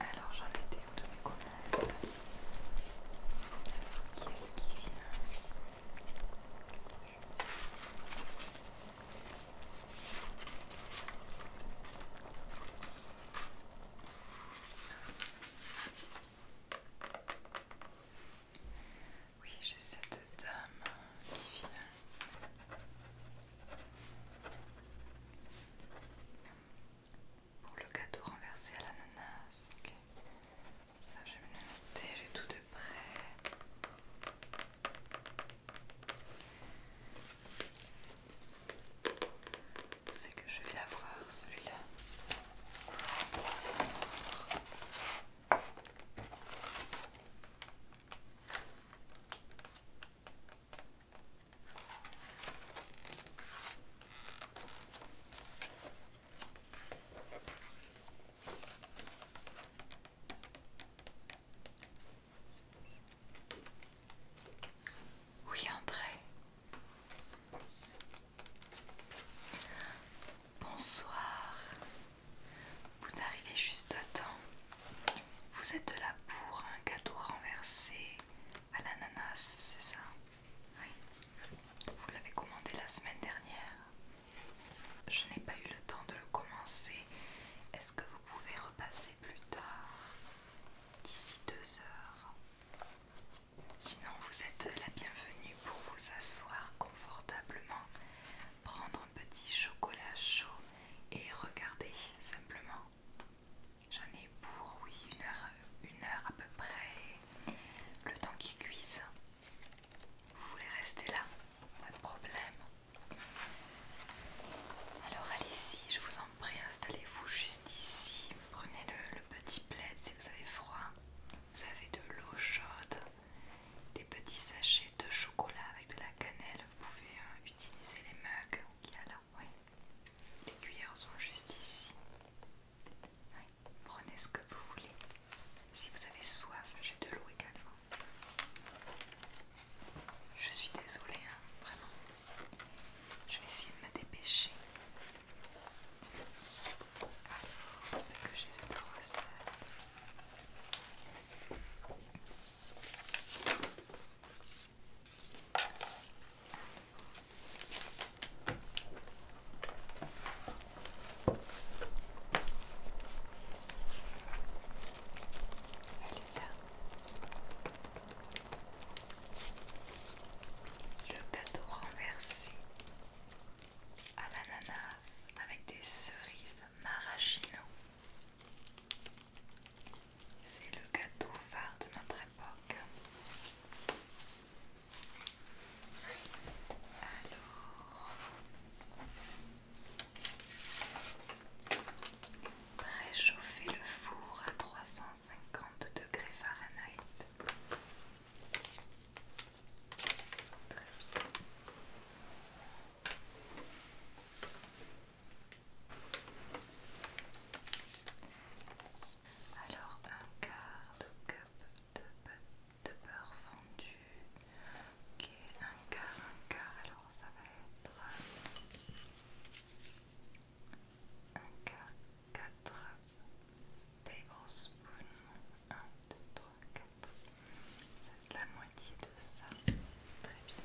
Alors j'en étais où de mes qu'est qui est-ce qui vient oui, j'ai cette dame qui vient. Pour le gâteau renversé à l'ananas, ok. Ça, je vais me j'ai tout de près. C'est que je vais l'avoir celui-là. Oui, entrez. Bonsoir. Vous arrivez juste à temps. Vous êtes là pour un gâteau renversé à l'ananas, c'est ça Oui. Vous l'avez commandé la semaine dernière. Je n'ai pas eu le temps de le commencer. Est-ce que vous pouvez repasser plus tard, d'ici deux heures Sinon, vous êtes la bienvenue pour vous asseoir confortablement, prendre un petit chocolat chaud et regarder simplement. J'en ai pour, oui, une heure, une heure à peu près, le temps qu'il cuise. Vous voulez rester là Pas de problème. Alors allez-y, je vous en prie, installez-vous juste ici. Prenez le, petit plaid si vous avez froid. Vous avez de l'eau chaude, des petits sachets de chocolat avec de la cannelle. Vous pouvez euh, utiliser les mugs qu'il y a là. Les cuillères sont juste ici. Prenez ce que vous voulez. Si vous avez soif, j'ai de l'eau également. Je suis désolée, hein, vraiment. Je vais essayer de me dépêcher. Alors, c'est que j'ai cette recette. Le gâteau renversé à l'ananas avec des cerises maraschino. C'est le gâteau phare de notre époque. Alors, Préchauffez le four à 350 degrés Fahrenheit. Alors un quart de cup de beurre de beurre fondu qui est un quart un quart alors ça va être un quart quatre tablespoons. un deux trois quatre c'est la moitié de ça très bien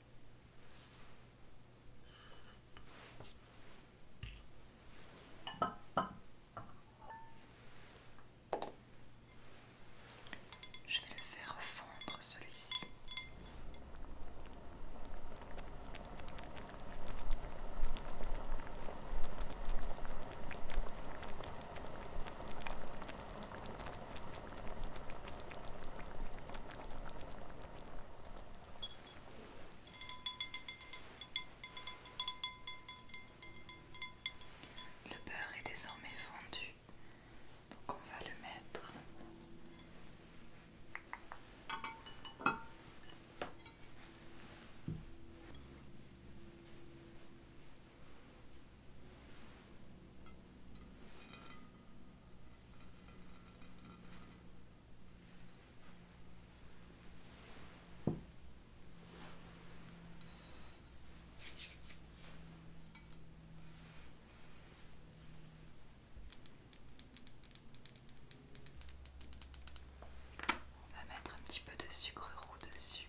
Je vais le faire fondre celui-ci. Le beurre est désormais fondu, donc on va le mettre. On va mettre un petit peu de sucre roux dessus.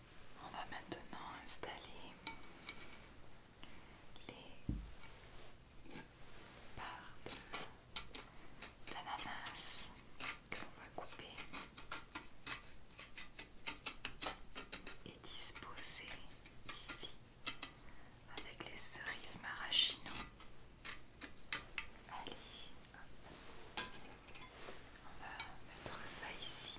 On va maintenant installer les parts d'ananas que l'on va couper et disposer ici avec les cerises maraschino. Allez, on va mettre ça ici.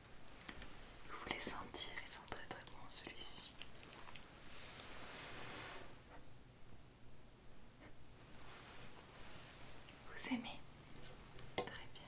Vous voulez sentir, et sent très très bon celui-ci. Vous aimez Très bien.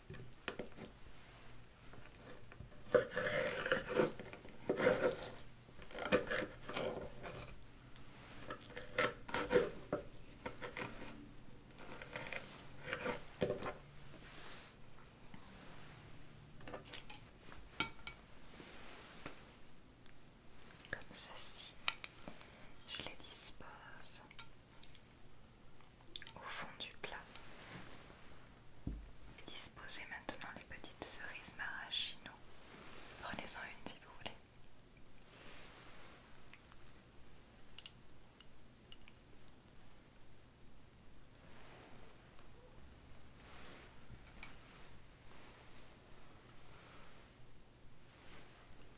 Comme ceci, je les dispose au fond du plat. disposez maintenant les petites cerises maraschino. Prenez-en une si vous voulez.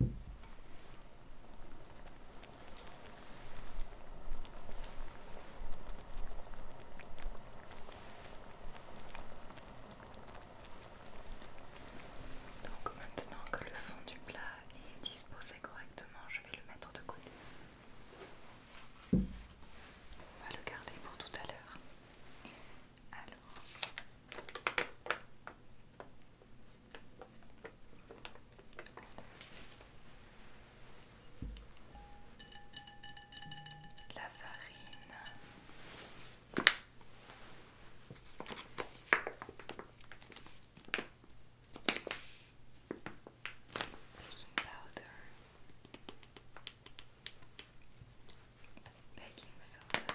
Donc maintenant que le fond du plat est disposé correctement, je vais le mettre de côté. On va le garder pour tout à l'heure. Alors, La farine. Baking powder. Baking soda.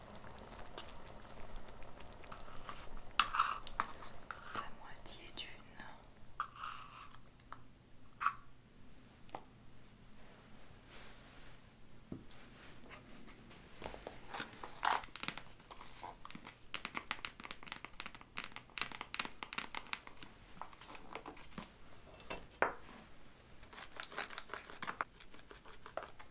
La moitié d'une.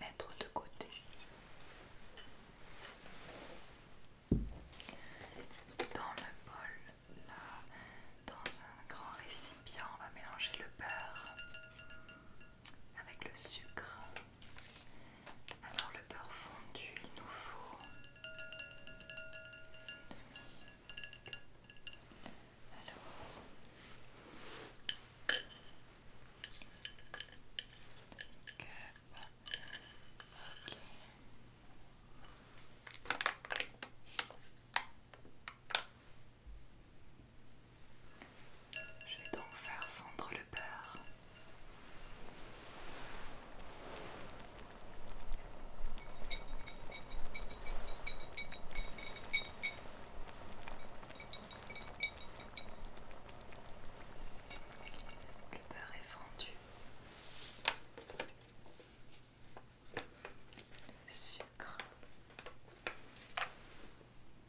mettre de côté dans le bol là dans un grand récipient on va mélanger le beurre avec le sucre. Alors le beurre fondu, il nous faut Alors Ok. Je vais donc faire fondre le beurre. Le beurre est fondu. sucre.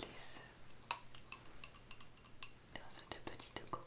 les dans cette petite cocotte.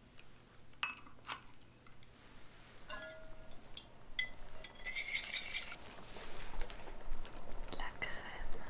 La crème.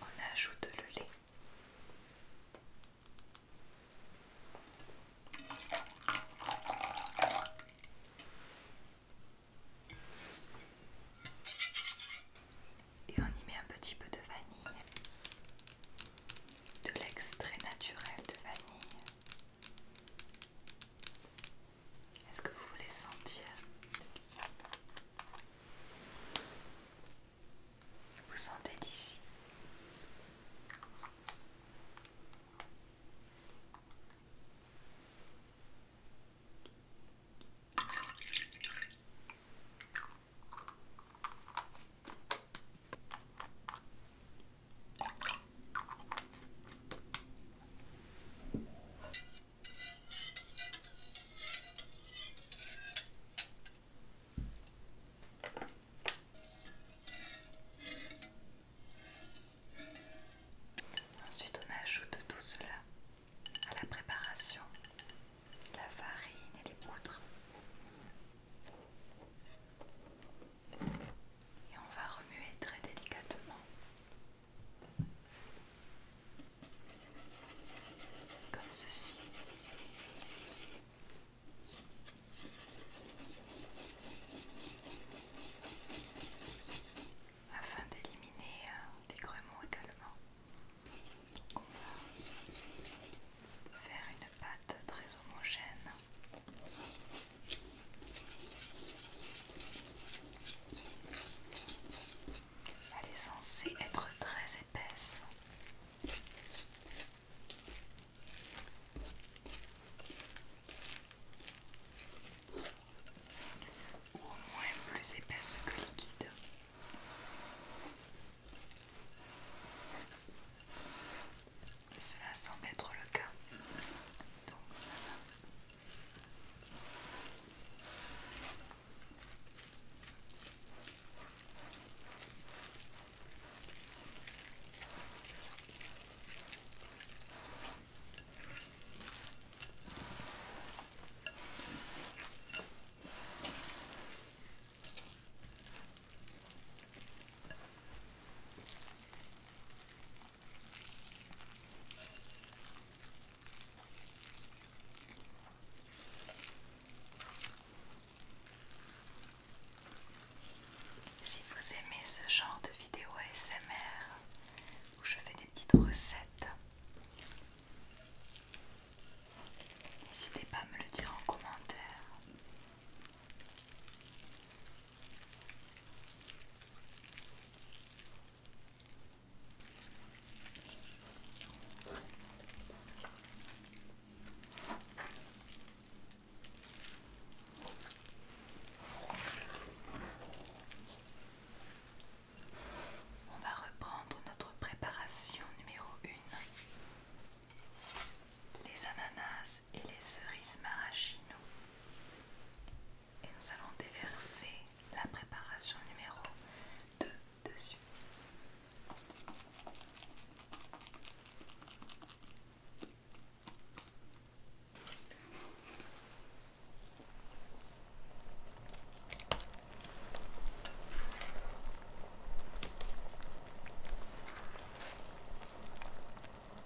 On ajoute le lait. Et on y met un petit peu de vanille, de l'extrait naturel de vanille. Est-ce que vous voulez sentir Vous sentez d'ici Ensuite, on ajoute tout cela à la préparation, la farine et les poudres et on va remuer très délicatement comme ceci. Afin d'éliminer euh, les grumeaux également, Donc on va faire une pâte très homogène elle est censée être très épaisse. au moins plus épaisse que liquide. Cela semble être le cas. Donc ça va. Si vous aimez ce genre de vidéo ASMR où je fais des petites recettes, n'hésitez pas à me le dire en commentaire. On va reprendre notre préparation numéro 1. Les ananas et les cerises maraschino. Et nous allons déverser la préparation numéro 2 dessus.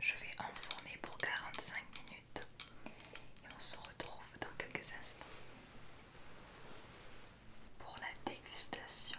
Je vais enfourner pour 45 minutes et on se retrouve dans quelques instants pour la dégustation.